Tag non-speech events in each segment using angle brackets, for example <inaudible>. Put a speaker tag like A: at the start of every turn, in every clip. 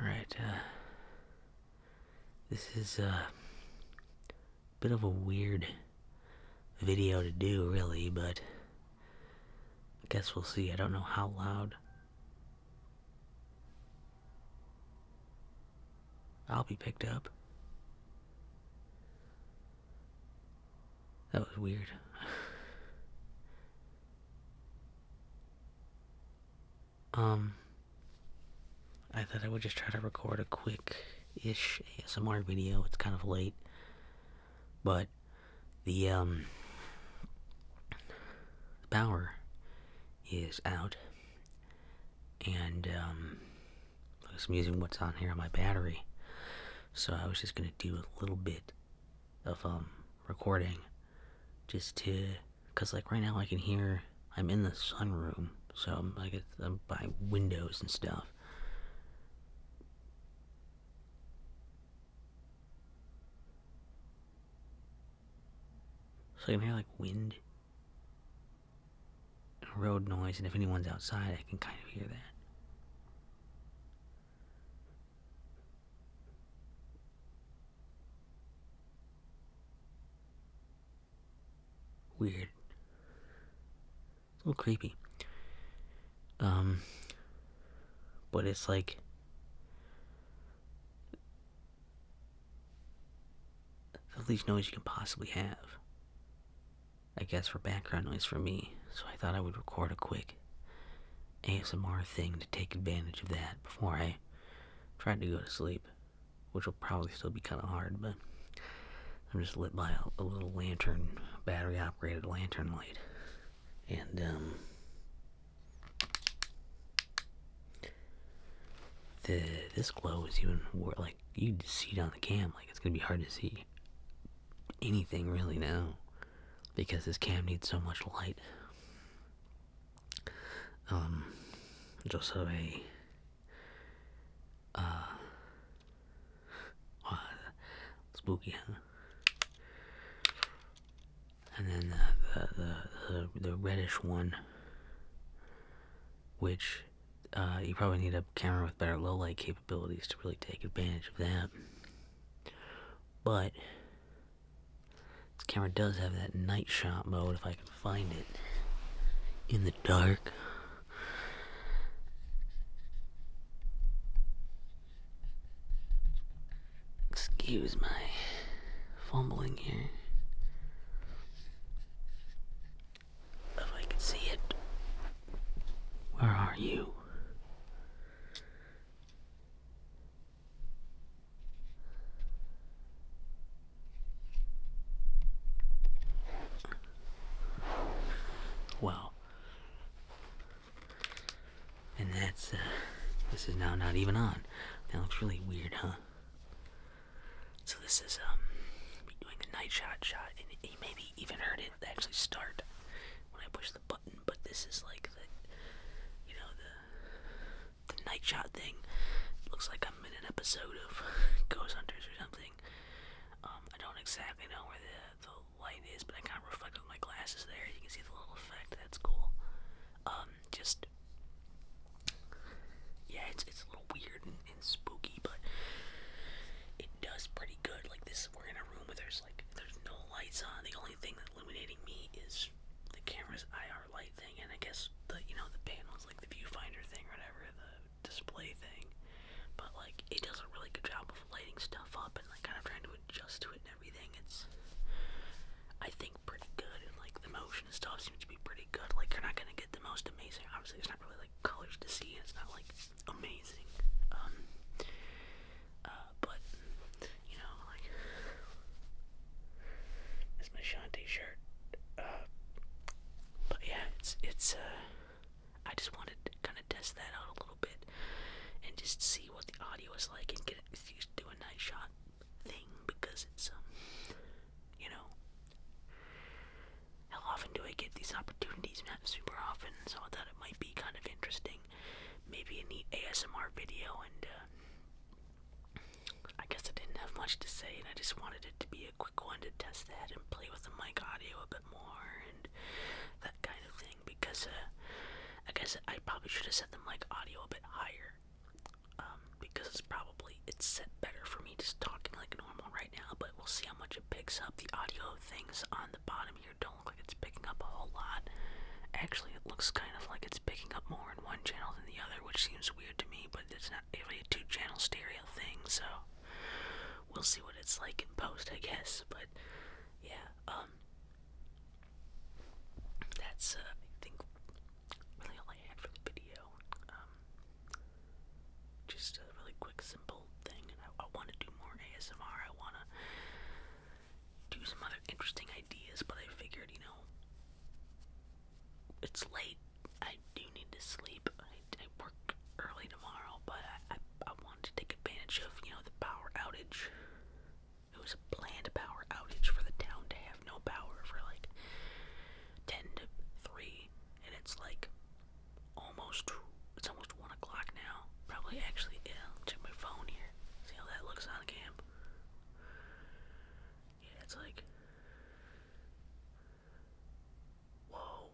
A: Alright, uh, this is a uh, bit of a weird video to do, really, but I guess we'll see. I don't know how loud. I'll be picked up. That was weird. um, I thought I would just try to record a quick ish ASMR video. It's kind of late, but the, um, power is out, and, um, I was using what's on here on my battery. So I was just gonna do a little bit of um recording just to because like right now i can hear i'm in the sunroom so i'm like i'm by windows and stuff so i can hear like wind and road noise and if anyone's outside i can kind of hear that Weird. It's a little creepy. Um, but it's like. The least noise you can possibly have. I guess for background noise for me, so I thought I would record a quick ASMR thing to take advantage of that before I tried to go to sleep, which will probably still be kind of hard, but I'm just lit by a, little lantern, battery operated lantern light. And, um, this glow is even more like you would see it on the cam, like it's gonna be hard to see anything really now because this cam needs so much light. Um, just so a uh, wow, spooky, huh? And then the the the, reddish one, which uh, you probably need a camera with better low light capability. Abilities to really take advantage of that. But this camera does have that night shot mode if I can find it in the dark. Excuse my fumbling here. If I can see it. Where are you? Wow. And that's, uh, this is now not even on. That looks really weird, huh? So this is, um, doing a night shot shot, and you maybe even heard it actually start when I push the button, but this is like the, you know, the, the night shot thing. It looks like I'm in an episode of <laughs> Ghost Hunters or something. Um, I don't exactly know where the, the light is, but I kind of reflect with my glasses there. You can see the little effect. That's cool. Um, just yeah, it's it's a little weird and, and spooky, but it does pretty good. Like this, we're in a room where there's there's like there's no lights on. The only thing illuminating me is the camera's IR light thing, and I guess the you know the panels like the viewfinder thing or whatever the display thing. But like it does a really good job of lighting stuff up and like kind of trying to adjust to it and everything. It's I think pretty good and like the motion and stuff seems to be pretty good. Like you're not gonna get the most amazing. Obviously, there's not really like colors to see, and it's not like amazing. Um, uh, but you know, like that's my Sean T-shirt. Uh, but yeah, it's it's. Uh, I just wanted to kind of test that out a little bit and just see what the audio is like and get do a night shot thing because it's um, you know. How often do I get these opportunities now? super often, so I thought it might be kind of interesting. Maybe a neat ASMR video, and uh, I guess I didn't have much to say, and I just wanted it to be a quick one to test that and play with the mic audio a bit more and that kind of thing. Because uh, I guess I probably should have set the mic audio a bit higher. Um, because it's probably it's set better for me just talking like normal right now, but we'll see how much it picks up. The audio things on the bottom here don't like it's picking up a whole lot. Actually, it looks kind of like it's picking up more in one channel than the other, which seems weird to me, but it's not really a two channel stereo thing, so we'll see what it's like in post, I guess. But yeah, um, that's, uh, I think, really all I had for the video. Um, just a really quick, simple thing, I, want to do more ASMR. I want to do some other interesting ideas, but I figured, you know, it's late. I do need to sleep. I, work early tomorrow, but I, I, I wanted to take advantage of, you know, the power outage. It was a planned power outage for the town to have no power for like 10 to 3, and it's like almost it's almost one o'clock now. Probably actually yeah, check my phone here. See how that looks on cam. Yeah, it's like Whoa.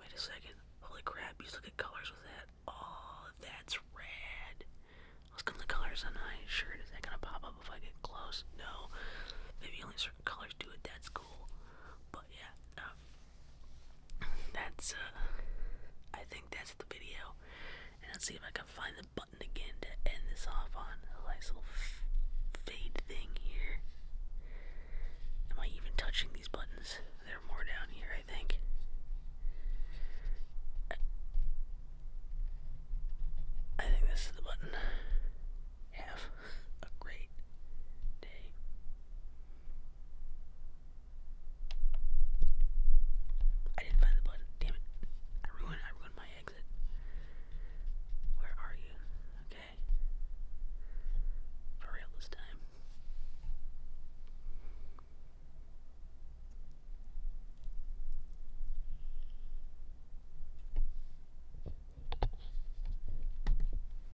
A: Wait a second. Holy crap, you still get colors with that. Oh, that's red. Let's come the colors on my Is that gonna pop up if I get close? No. Maybe only certain colors do it. That's cool. But yeah, um, that's uh, I think that's the video. And let's see if I can find the button again to end this off on. A nice little fade thing here. Am I even touching these buttons? They're more down here, I think. I think this is the button. Have a great day. I didn't find the button. Damn it. I ruined I ruined my exit. Where are you? Okay. For real this time.